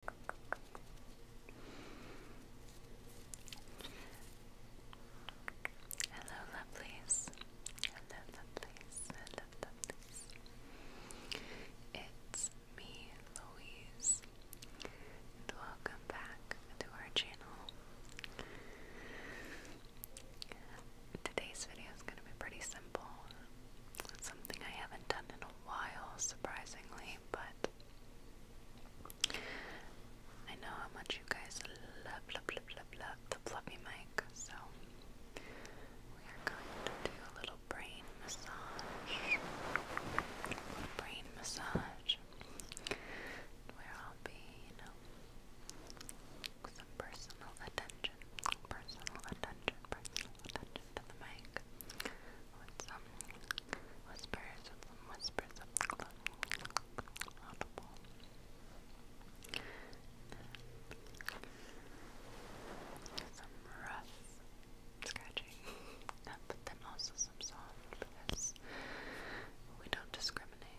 Hello, lovelies. Hello, lovelies. Hello, lovelies. It's me, Louise, welcome back to our channel. Today's video is going to be pretty simple. It's something I haven't done in a while, surprisingly, but I know how much you guys love, love, love, love, love the fluffy mic, so we are going to do a little brain massage. Brain massage. Where I'll be, you know, some personal attention. Personal attention, personal attention to the mic with some whispers, some whispers of audible. some rough scratching, but then also some soft we don't discriminate.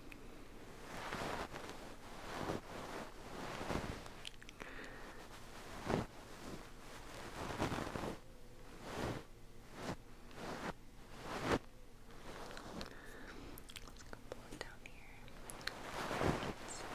Let's go blow it down here. It's Okay.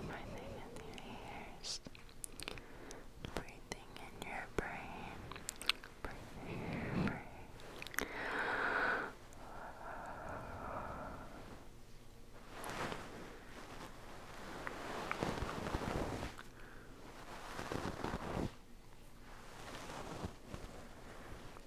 Breathing in your ears. Breathing in your brain.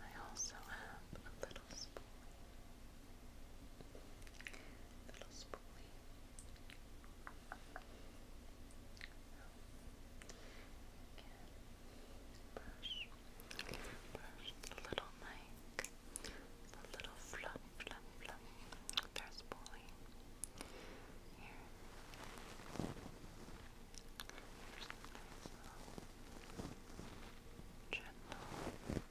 I also have a little spoolie. Little spoolie. Again, brush the little mic, the little fluff, There's Polly. Here. Gentle. Gentle.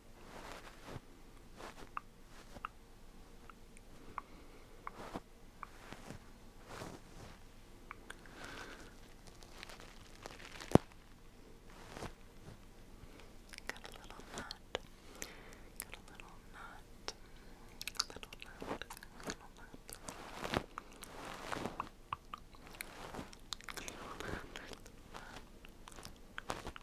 Got a little knot. Got a little knot. A little knot. A little knot. A little knot.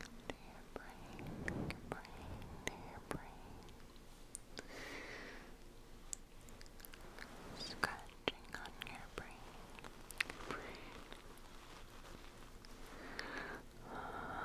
to your brain, your brain, to your brain. Scratching on your brain, your brain. Relax.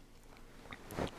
Brain massages.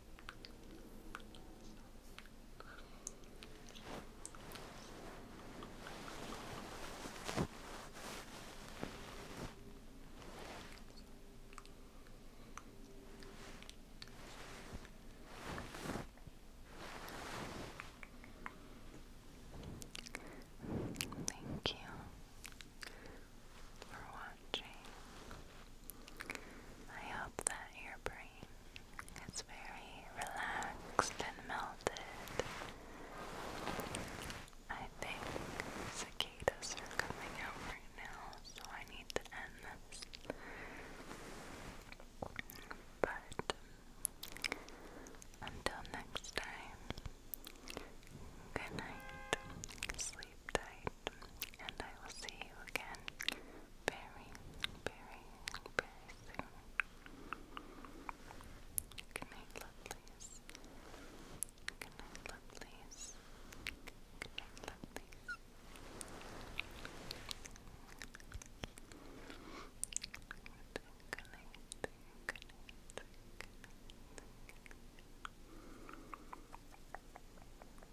Thank you for watching. I hope that your brain it's very relaxed and melted. I think cicadas are coming out right now, so I need to end this. But until next time, good night, sleep tight, and I will see you again very, very, very soon. Good night, lovelies. Good night, lovelies. Good night, lovelies. Good night, good